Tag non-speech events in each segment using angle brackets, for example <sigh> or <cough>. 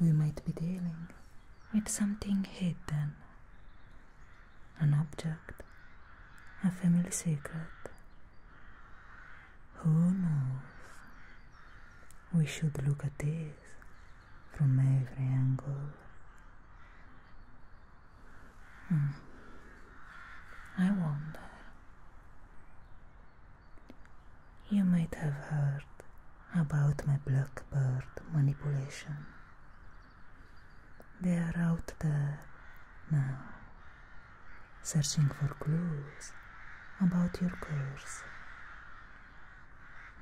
We might be dealing with something hidden, an object, a family secret. Who knows? We should look at this from every angle. Hmm. I wonder. You might have heard about my blackbird manipulation. They are out there now, searching for clues about your curse.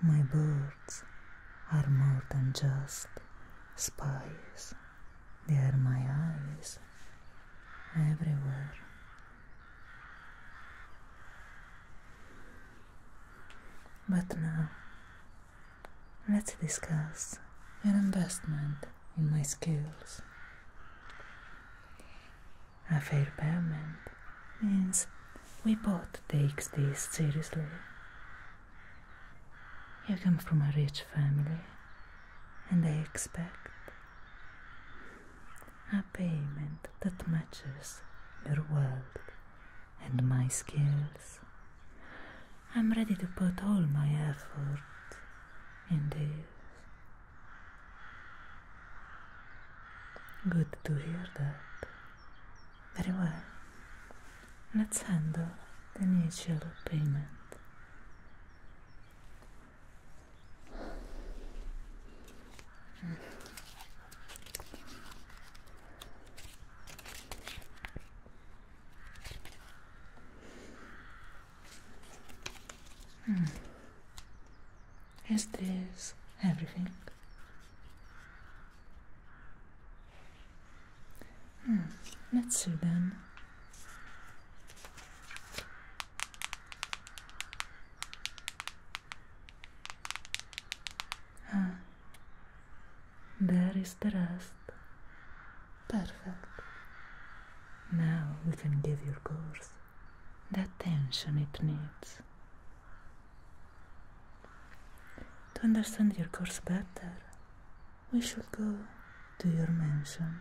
My birds are more than just spies, they are my eyes everywhere. But now, let's discuss an investment in my skills. A fair payment means we both take this seriously. You come from a rich family, and I expect a payment that matches your world and my skills. I'm ready to put all my effort in this. Good to hear that. Very well. Let's handle the initial payment. Hmm. Is this everything? Hmm, let's see then. Ah, there is the rest. Perfect. Now we can give your course the attention it needs. To understand your course better, we should go to your mansion.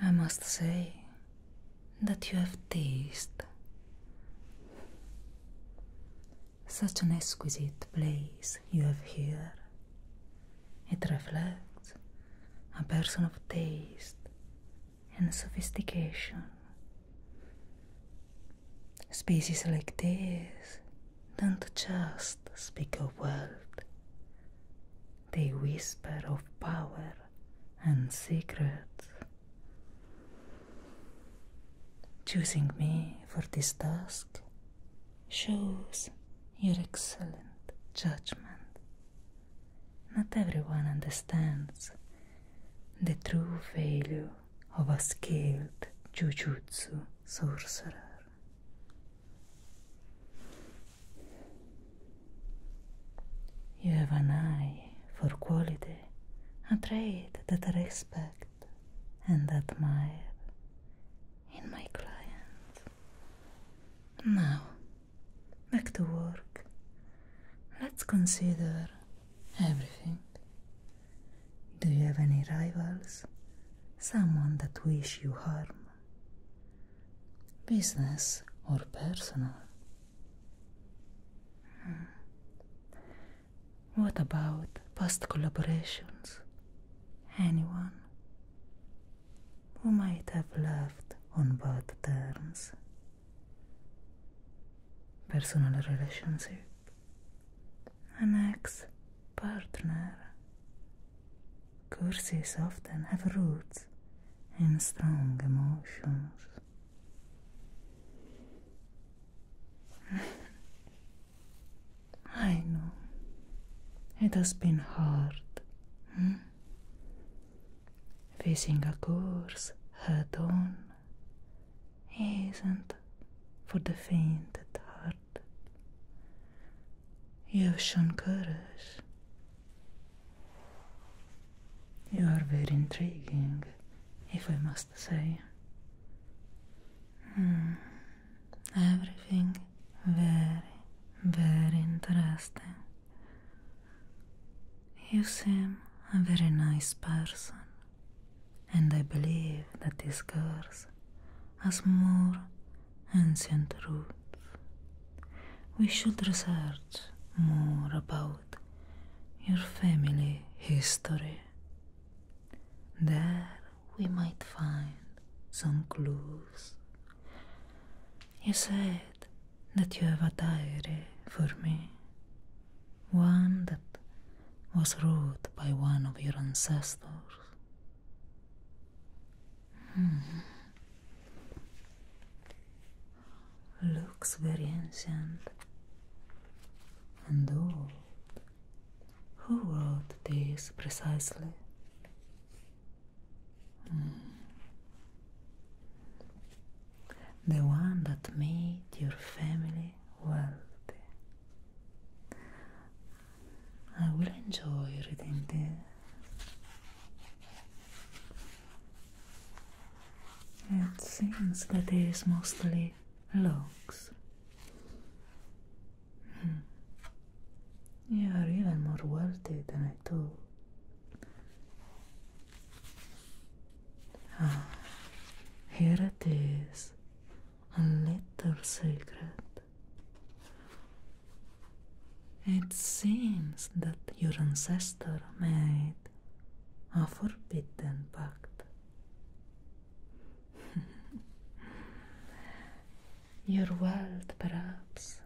I must say that you have taste. Such an exquisite place you have here. It reflects a person of taste and sophistication. Spaces like this don't just speak of wealth, they whisper of power and secrets. Choosing me for this task shows your excellent judgment. Not everyone understands the true value of a skilled jujutsu sorcerer. You have an eye for quality, a trait that I respect and admire in my client. Now, back to work. Let's consider everything. Do you have any rivals? Someone that wishes you harm? business or personal? Hmm. What about past collaborations? Anyone who might have left on bad terms? Personal relationship? An ex partner? Curses often have roots in strong emotions. <laughs> I know it has been hard hmm? facing a course head on isn't for the faint at heart. You've shown courage. You are very intriguing, if I must say. Everything very, very interesting. You seem a very nice person, and I believe that these girls as more ancient roots. We should research more about your family history. There we might find some clues. You said that you have a diary for me, one that was wrote by one of your ancestors. Hmm. Looks very ancient and old. Who wrote this precisely? Hmm. The one that made your family wealthy. I will enjoy reading this. It seems that it is mostly logs. Hmm. You are even more wealthy than I thought. Ah, here it is, a little secret. It seems that your ancestor made a forbidden pact. <laughs> your wealth, perhaps,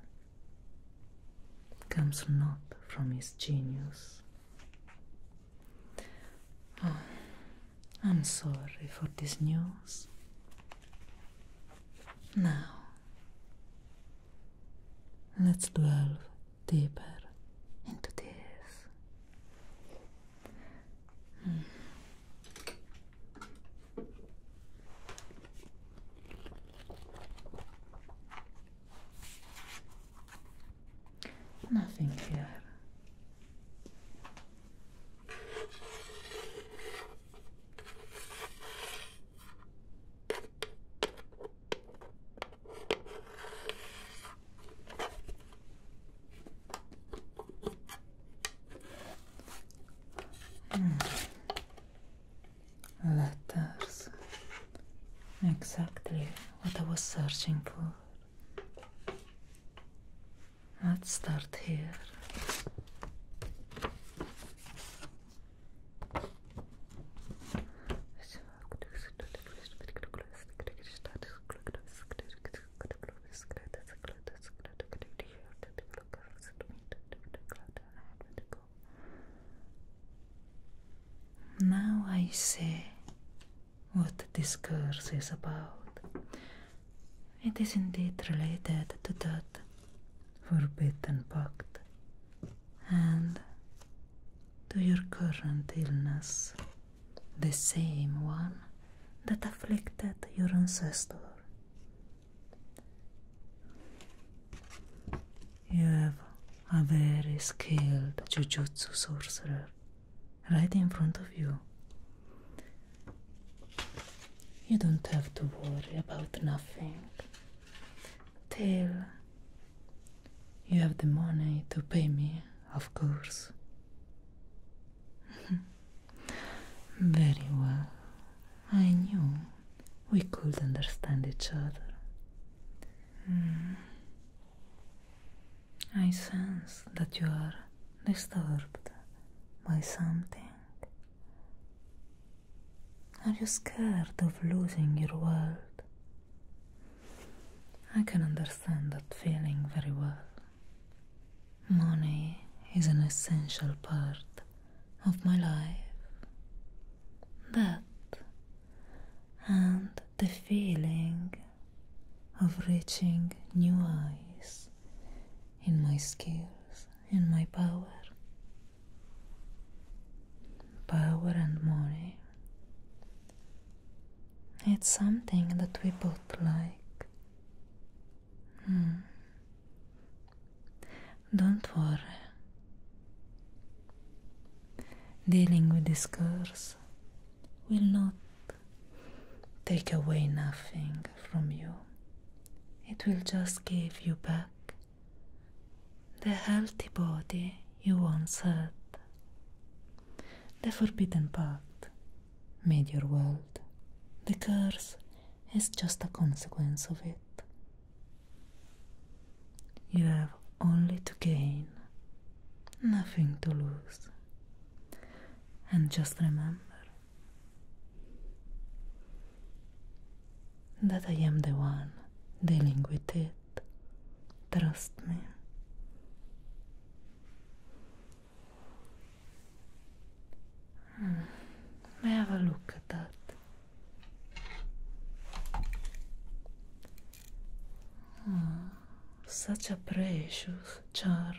comes not from his genius. Oh, I'm sorry for this news. Now, let's delve deeper into this. Hmm. Nothing here Mm. Letters. Exactly what I was searching for. Let's start here. Now I see what this curse is about. It is indeed related to that forbidden pact and to your current illness, the same one that afflicted your ancestor. You have a very skilled jujutsu sorcerer right in front of you. You don't have to worry about nothing till you have the money to pay me, of course. <laughs> Very well. I knew we could understand each other. Hmm. I sense that you are disturbed by something. Are you scared of losing your world? I can understand that feeling very well. Money is an essential part of my life. That and the feeling of reaching new heights, in my skills in my power. Power and money. It's something that we both like. Hmm. Don't worry. Dealing with this curse will not take away nothing from you. It will just give you back the healthy body you once had. The forbidden pact made your world. The curse is just a consequence of it. You have only to gain, nothing to lose. And just remember that I am the one dealing with it. Trust me. Hmm. May have a look at that. Oh, such a precious charm.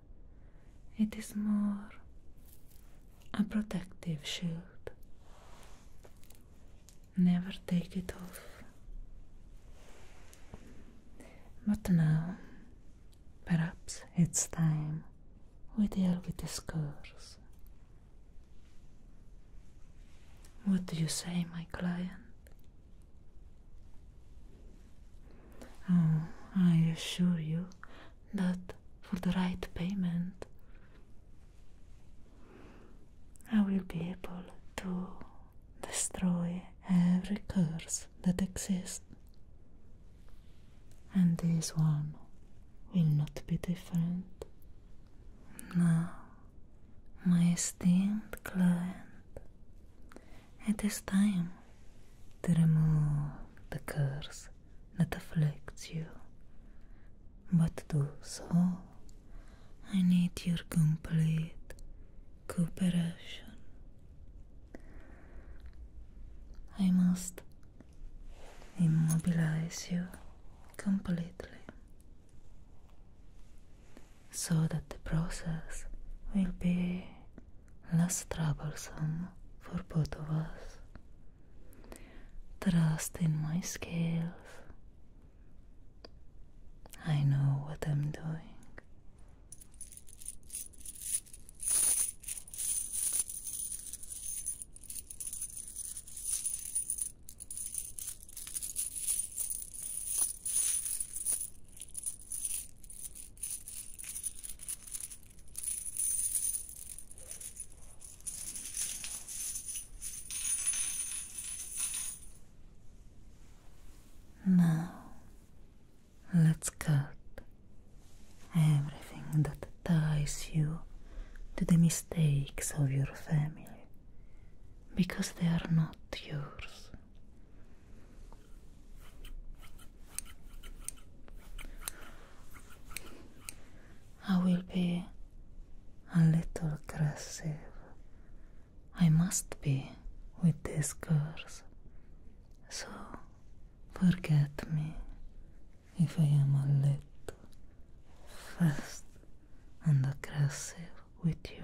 it is more a protective shield. Never take it off. But now, perhaps it's time we deal with the scars. What do you say, my client? Oh, I assure you, that for the right payment I will be able to destroy every curse that exists. And this one will not be different. Now, my esteemed client, it is time to remove the curse that afflicts you. But do so, I need your complete cooperation. I must immobilize you completely so that the process will be less troublesome for both of us. Trust in my skills. I know what I'm doing. Now let's cut everything that ties you to the mistakes of your family because they are not yours. I will be a little aggressive. I must be with these girls. So forget me if I am a little fast and aggressive with you.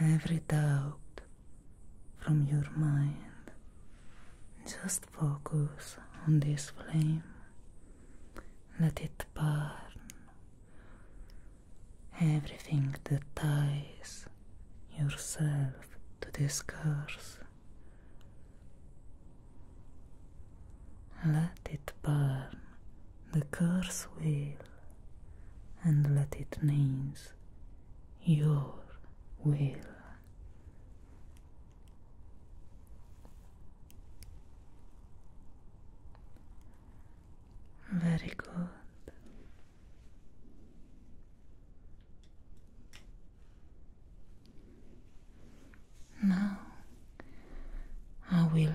every doubt from your mind. Just focus on this flame. Let it burn. Everything that ties yourself to this curse. Let it burn the curse will, and let it means your will. Very good. Now I will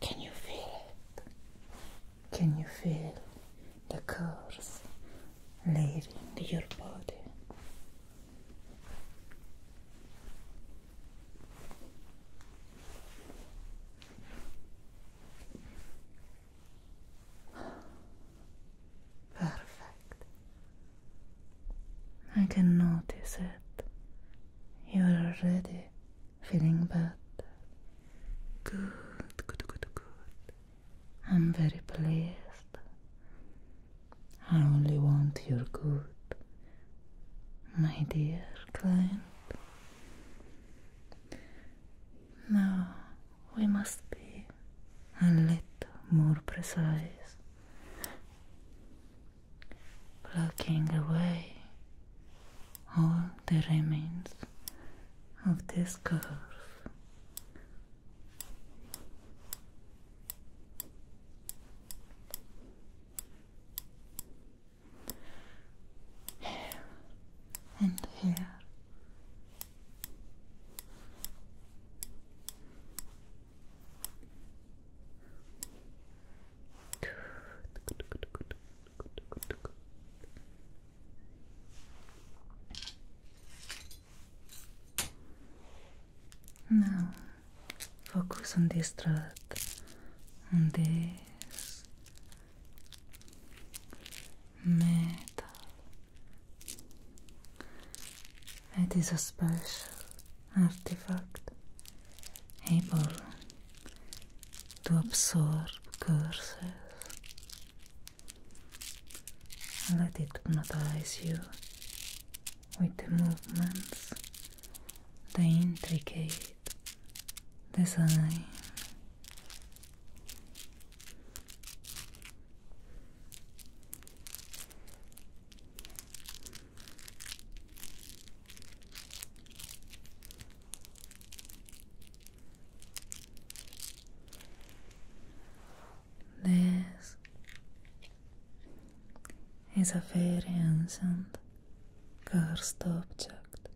Can you feel it? Can you feel the curves leaving your body? Perfect. I can notice it. You're already feeling better. Good, good, good, good. I'm very pleased. I only want your good, my dear client. Now we must be a little more precise. Plucking away all the remains of this curve. Here and here now focus on this thread, on this metal it is a special artifact able to absorb curses. Let it hypnotize you with the movements, the intricate design this is a very ancient cursed object.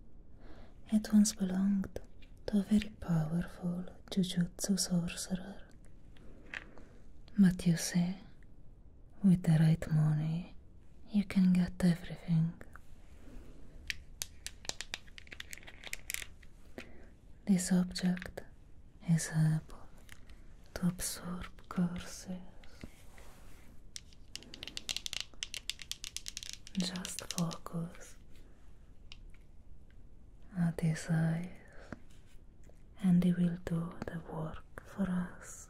It once belonged to a very powerful Jujutsu Sorcerer. But you see, with the right money, you can get everything. This object is able to absorb curses. Just focus are these eyes, and they will do the work for us.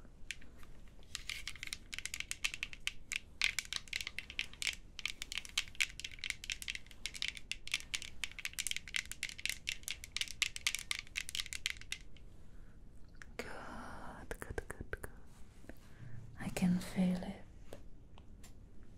Good, good, good, good. I can feel it.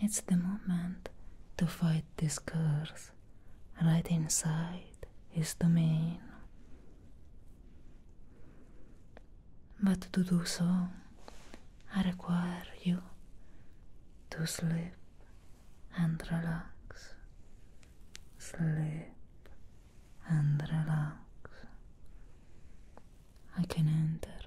It's the moment to fight this curse. Right inside his domain. But to do so, I require you to sleep and relax. Sleep and relax. I can enter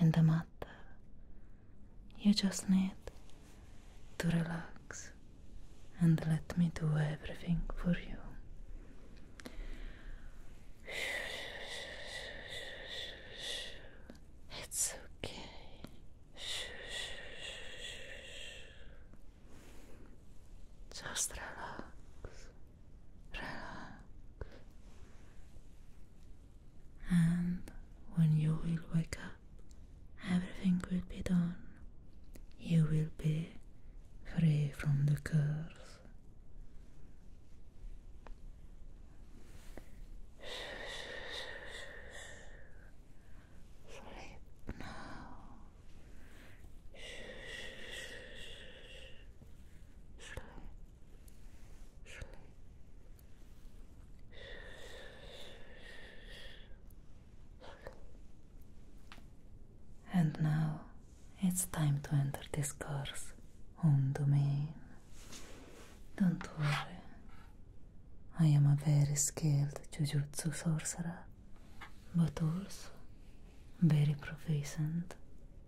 in the matter. You just need to relax and let me do everything for you. It's okay. Just relax relax. And when you will wake up, everything will be done. You will be free from the curse. Sleep now. Sleep. And now it's time to enter this cursed, on domain. Don't worry, I am a very skilled jujutsu sorcerer, but also very proficient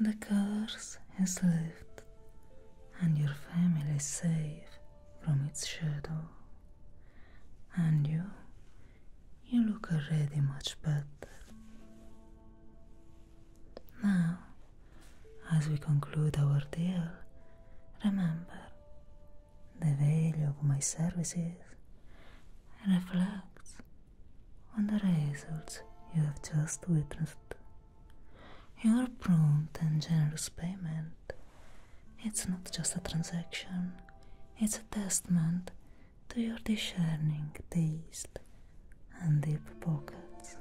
The curse has lifted, and your family is safe from its shadow. And you, you look already much better. Now, as we conclude our deal, remember the value of my services reflects on the results you have just witnessed. Your prompt and generous payment. It's not just a transaction, it's a testament to your discerning taste and deep pockets.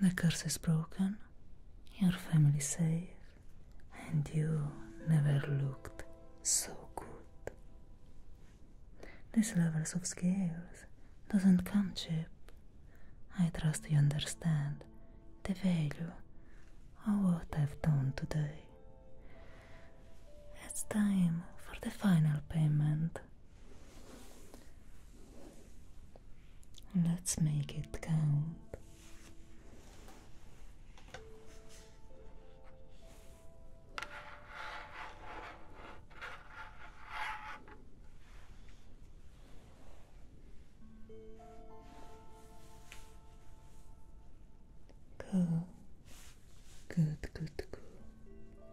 The curse is broken, your family's safe, and you never looked so good. These levels of skills doesn't come cheap. I trust you understand the value of what I've done today. It's time for the final payment. Let's make it count. Cool. Good, good, Good.